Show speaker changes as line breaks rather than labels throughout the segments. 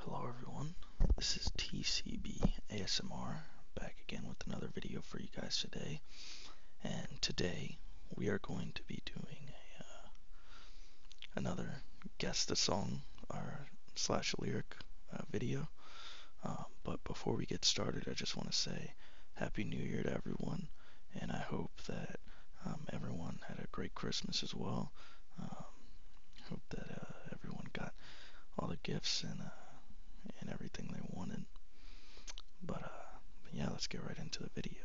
Hello everyone, this is TCB ASMR back again with another video for you guys today. And today we are going to be doing uh, another guess the song or slash lyric uh, video. Um, but before we get started, I just want to say Happy New Year to everyone and I hope that um, everyone had a great Christmas as well. Um, hope that uh, everyone got all the gifts and uh, and everything they wanted. Uh, but yeah, let's get right into the video.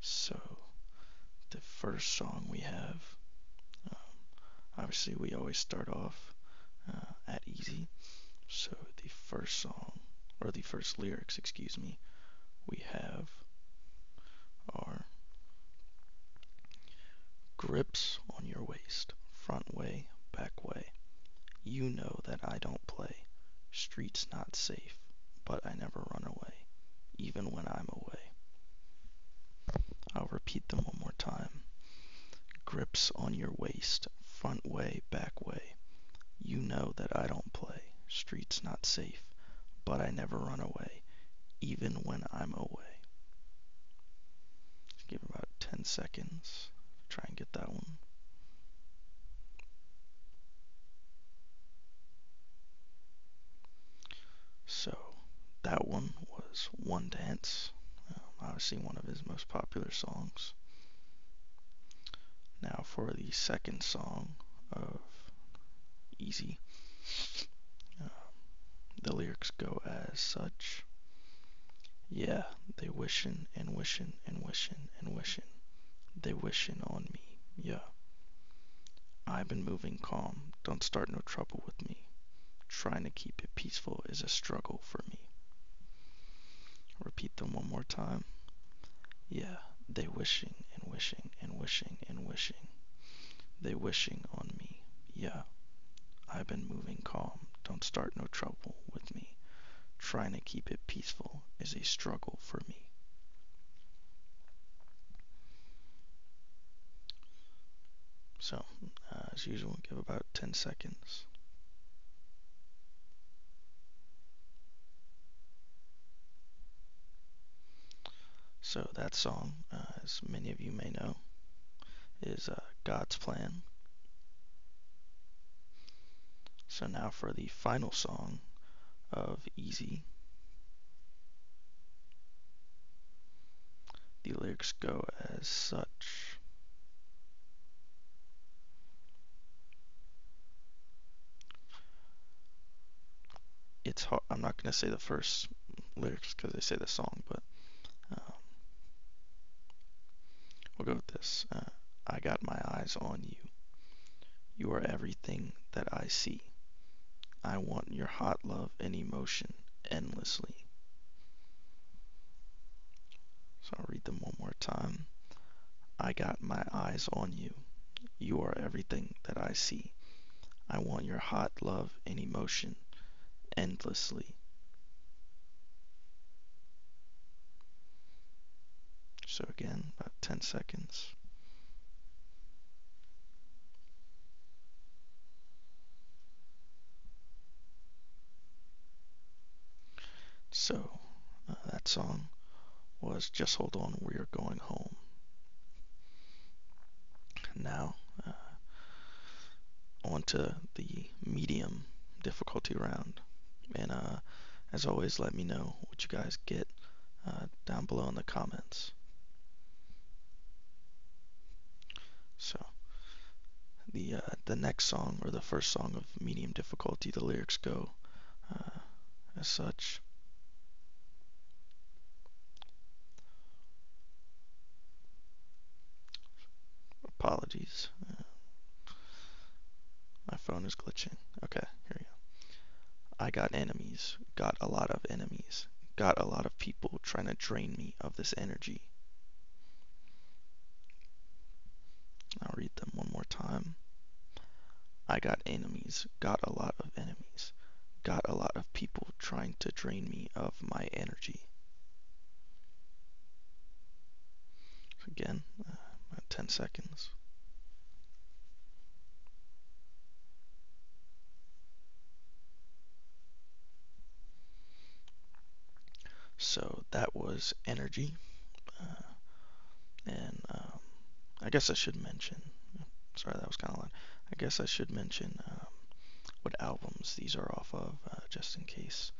So the first song we have, um, obviously we always start off at easy. So the first song or the first lyrics, excuse me, we have are grips on your waist, front way, back way. You know that I don't play. Street's not safe, but I never run away, even when I'm away. I'll repeat them one more time. Grips on your waist, front way, back way. You know that I don't play, streets not safe, but I never run away, even when I'm away. give it about 10 seconds, try and get that one. So, that one was One Dance, um, obviously one of his most popular songs. Now for the second song of easy. Um, the lyrics go as such. Yeah, they wishin' and wishin' and wishin' and wishin'. They wishin' on me, yeah. I've been moving calm, don't start no trouble with me. Trying to keep it peaceful is a struggle for me. Repeat them one more time. Yeah, they wishing and wishing and wishing and wishing. They wishing on me. Yeah, I been moving calm. Don't start no trouble with me. Trying to keep it peaceful is a struggle for me. So, uh, as usual, give about 10 seconds. So that song, uh, as many of you may know, is uh, God's Plan. So now for the final song of Easy. The lyrics go as such. It's hard. I'm not gonna say the first lyrics because they say the song, but um, we'll go with this. Uh, I got my eyes on you. You are everything that I see. I want your hot love and emotion endlessly. So I'll read them one more time. I got my eyes on you. You are everything that I see. I want your hot love and emotion endlessly. So again, about 10 seconds. So uh, that song was Just Hold On, We're Going Home. Now, uh, on to the medium difficulty round. And uh, as always, let me know what you guys get uh, down below in the comments. So, the, the next song, or the first song of medium difficulty, the lyrics go uh, as such. Apologies. Uh, my phone is glitching. Okay, here we go. I got enemies, got a lot of enemies, got a lot of people trying to drain me of this energy. I'll read them one more time. I got enemies, got a lot of enemies, got a lot of people trying to drain me of my energy. Again, uh, 10 seconds. So that was energy. Uh, and um, I guess I should mention. Sorry, that was kind of loud. I guess I should mention um, what albums these are off of, uh, just in case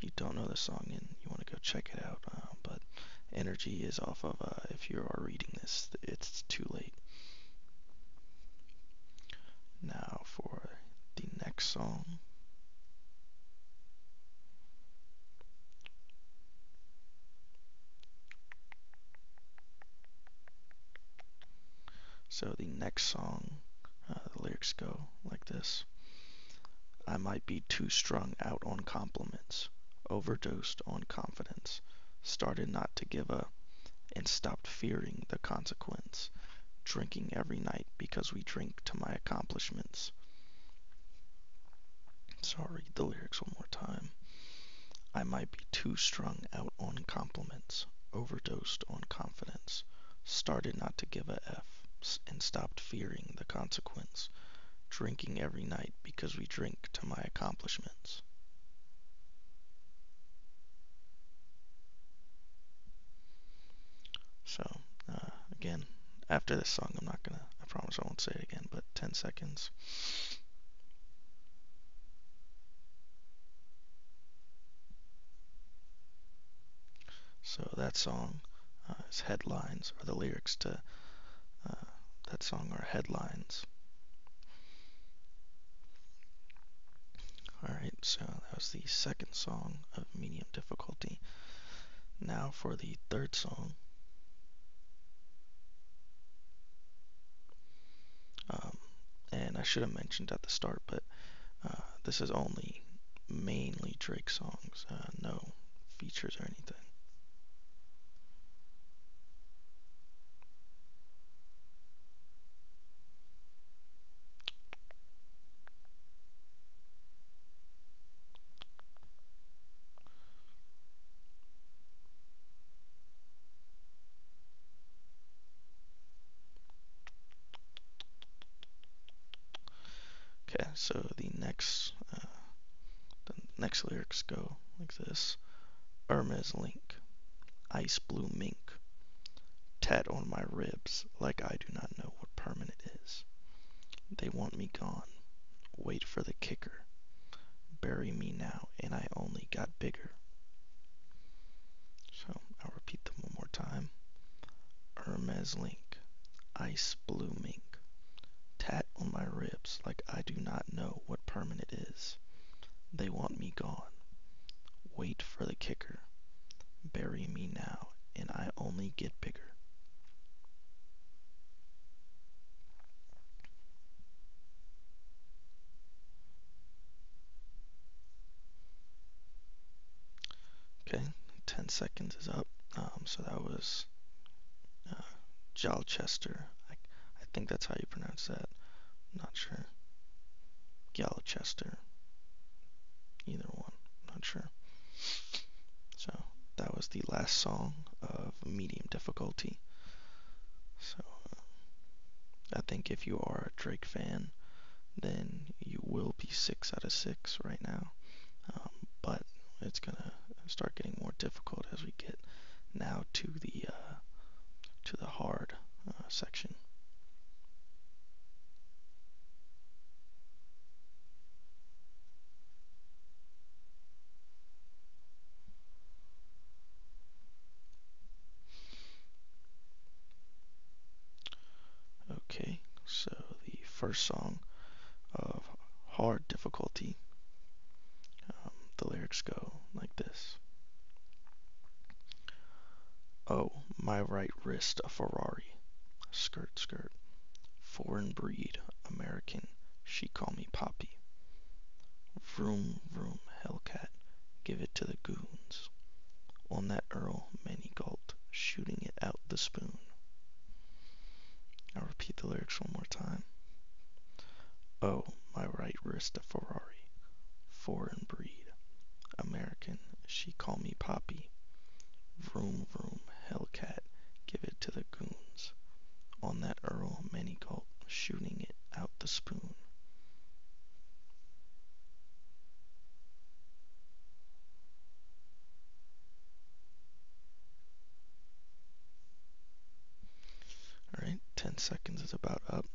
you don't know the song and you want to go check it out. Uh, but Energy is off of. Uh, if you are reading this, it's too late. Now for the next song, so the next song, uh, the lyrics go like this I might be too strung out on compliments, overdosed on confidence, started not to give up, and stopped fearing the consequence, drinking every night because we drink to my accomplishments. So I'll read the lyrics one more time. I might be too strung out on compliments, overdosed on confidence, started not to give a F, and stopped fearing the consequence, drinking every night because we drink to my accomplishments. So uh, again, after this song, I'm not gonna, I promise I won't say it again, but 10 seconds. So that song, uh, is headlines, or the lyrics to uh, that song are headlines. Alright, so that was the second song of medium difficulty. Now for the third song. Um, and I should have mentioned at the start, but uh, this is only mainly Drake songs, uh, no features or anything. Okay, so the next uh, the next lyrics go like this: Irma's link, ice blue mink, tat on my ribs like I do not know what permanent is. They want me gone. Wait for the kicker. Bury me now, and I only got bigger. So I'll repeat them one more time. Hermes Link, Ice Blue Mink, tat on my ribs like I do not know what permanent is. They want me gone. Wait for the kicker. Bury me now, and I only get bigger. Okay, 10 seconds is up. Um, so that was uh, I, think that's how you pronounce that. not sure. Galchester either one. not sure. So that was the last song of medium difficulty. So uh, I think if you are a Drake fan, then you will be six out of six right now. Um, but it's gonna start getting more difficult as we get now to the uh, to the hard uh, section. Okay, so the first song of Hard Difficulty, um, the lyrics go like this Oh, my right wrist a Ferrari. Skirt, skirt. Foreign breed, American. She call me Poppy. Vroom, vroom, Hellcat. Give it to the goons. On that Earl, many gulped, shooting it out the spoon. I'll repeat the lyrics one more time. Oh, my right wrist a Ferrari. Foreign breed. American. She call me Poppy. Vroom vroom. Hellcat. Give it to the goons. On that Earl Manygold. Shooting it out the spoon. Alright, 10 seconds is about up.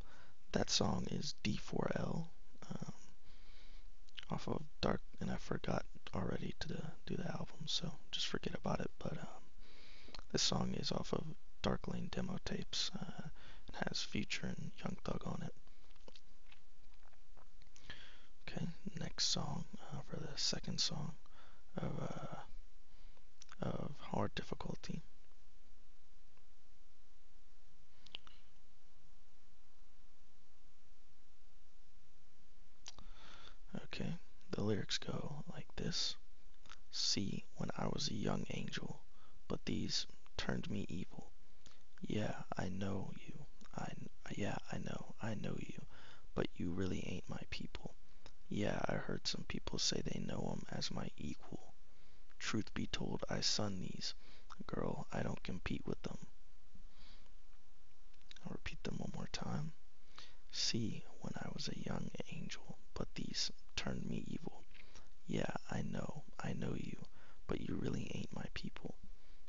That song is D4L off of Dark, and I forgot already to do the album, so just forget about it. But um, this song is off of Dark Lane demo tapes. Uh, it has Future and Young Thug on it. Okay, next song uh, for the second song of uh, of Hard Difficulty Okay, the lyrics go like this See, when I was a young angel, but these turned me evil. Yeah, I know you. I, yeah, I know. I know you. But you really ain't my people. Yeah, I heard some people say they know 'em as my equal. Truth be told, I sun these. Girl, I don't compete with them. I'll repeat them one more time. See, when I was a young angel, but these turned me evil. Yeah, I know, I know you, but you really ain't my people.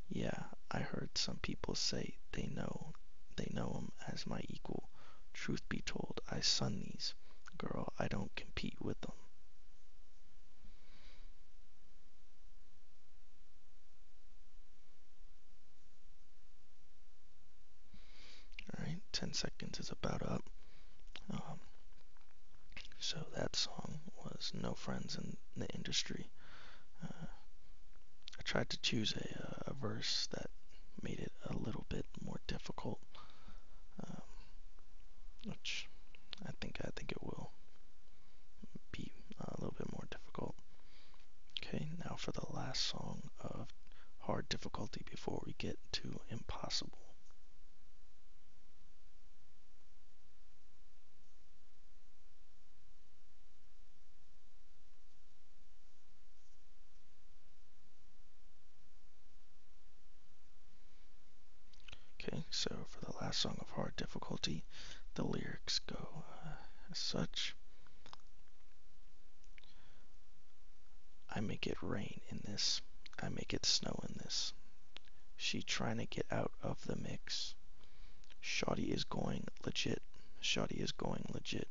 Yeah, I heard some people say they know, they know 'em as my equal. Truth be told, I sun these. Girl, I don't compete with them. Alright, 10 seconds is about up. Um, so that song was No Friends in the Industry. Uh, I tried to choose a, uh, a verse that made it a little bit more difficult. Um, which I think I think it will be uh, a little bit more difficult. Okay, now for the last song of hard difficulty before we get to impossible. Okay, so for the last song of hard difficulty, the lyrics go uh, as such I make it rain in this, I make it snow in this. She trying to get out of the mix. Shotty is going legit, Shotty is going legit.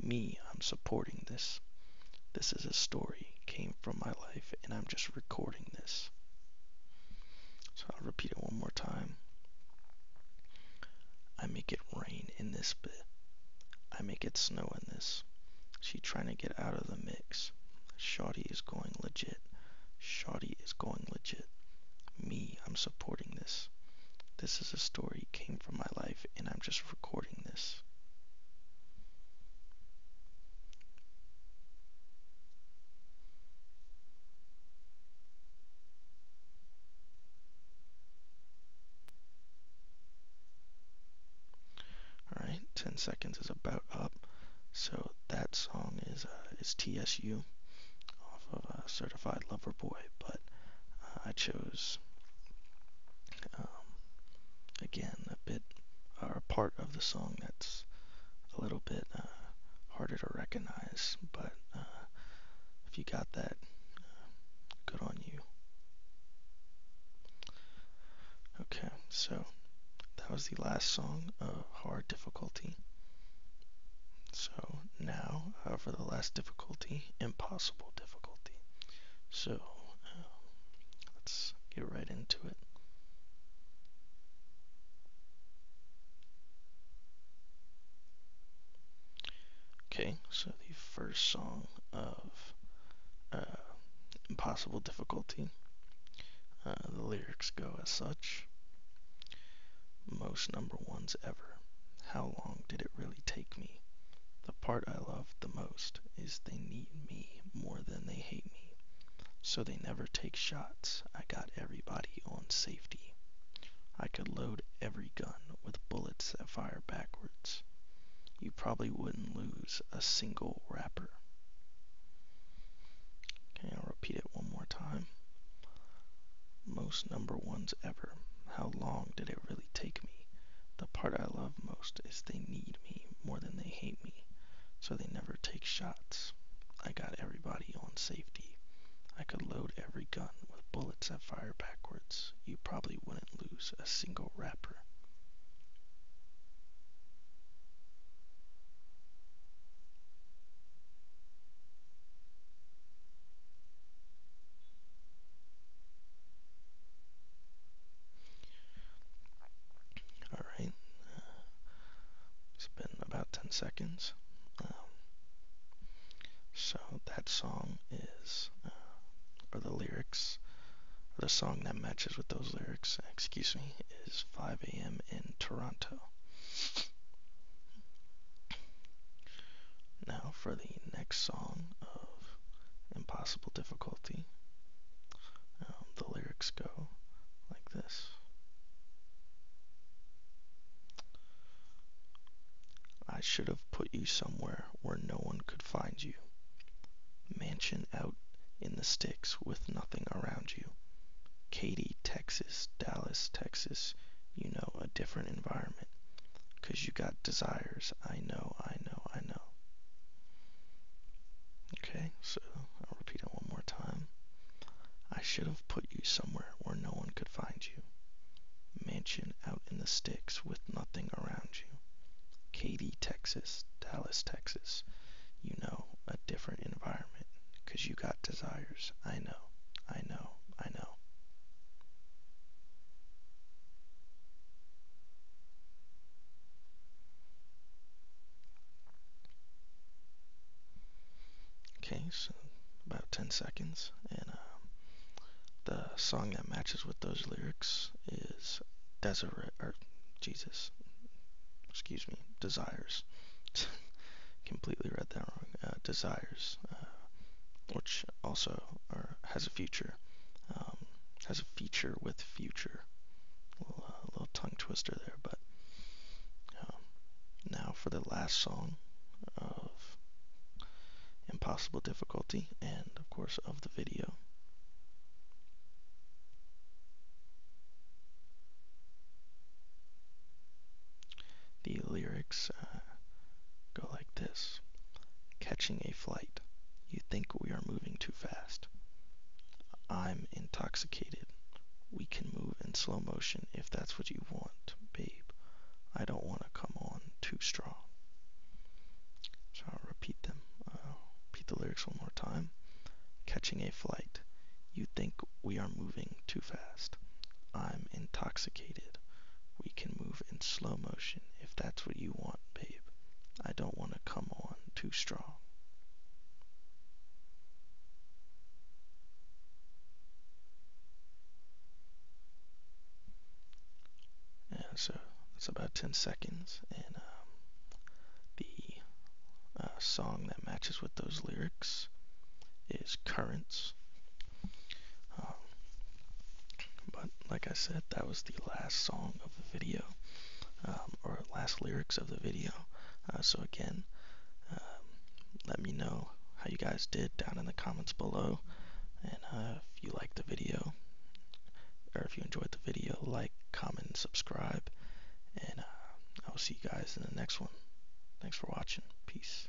Me, I'm supporting this this. is a story, came from my life, and I'm just recording this. So I'll repeat it one more time. I make it rain in this bit. I make it snow in this. She trying to get out of the mix. Shotty is going legit. Shotty is going legit. Me, I'm supporting this. This is a story came from my life and I'm just recording this. All right, 10 seconds is about up. So that song is uh, is TSU off of Certified Lover Boy, but uh, I chose um, again a bit or a part of the song that's a little bit uh, harder to recognize, but uh, if you got that, uh, good on you. Okay, so that was the last song of hard difficulty. So now for the last difficulty, impossible difficulty. So um, let's get right into it. Okay, so the first song of uh, possible Difficulty, uh, the lyrics go as such Most number ones ever. How long did it really take? take me. The part I love the most is they need me more than they hate me. So they never take shots. I got everybody on safety. I could load every gun with bullets that fire backwards. You probably wouldn't lose a single wrapper. Okay, I'll repeat it one more time. Most number ones ever. How long did it really take me? The part I love most is they need me more than they hate me, so they never take shots. I got everybody on safety. I could load every gun with bullets that fire backwards. You probably wouldn't lose a single wrapper. Alright, uh, it's been about 10 seconds. Um, so that song is, uh, or the lyrics, or the song that matches with those lyrics, excuse me, is 5 a.m. in Toronto. Now for the next song of impossible difficulty. Um, the lyrics go like this I should have put you somewhere where no one could find you. Mansion out in the sticks with nothing around you. Katy, Texas, Dallas, Texas, you know, a different environment. Because you got desires. I know, I know, I know. Okay, so I'll repeat it one more time. I should have put you somewhere where no one could find you. Mansion out in the sticks with nothing around you. Katy, Texas, Dallas, Texas. You know, a different environment. 'Cause Because you got desires. I know, I know, I know. Okay, so about 10 seconds, and uh, the song that matches with those lyrics is Desiree, or Jesus, excuse me, Desires. Completely read that wrong. Uh, desires uh, which also has a future, um, has a feature with future. little, uh, tongue twister there, but um, now for the last song of Impossible Difficulty and, of course, of the video. The lyrics uh, go like this Catching a flight. You think we are moving too fast. I'm intoxicated. We can move in slow motion if that's what you want, babe. I don't want to come on too strong. So I'll repeat them. i repeat the lyrics one more time. Catching a flight. You think we are moving too fast. I'm intoxicated. We can move in slow motion if that's what you want, babe. I don't want to come on too strong. Yeah, so it's about 10 seconds, and um, the uh, song that matches with those lyrics is Currents um, but like I said, that was the last song of the video, um, or last lyrics of the video. Uh, so again, um, let me know how you guys did down in the comments below, and uh, if you liked the video, or if you enjoyed the video, like, comment, subscribe, and uh, I will see you guys in the next one. Thanks for watching. Peace.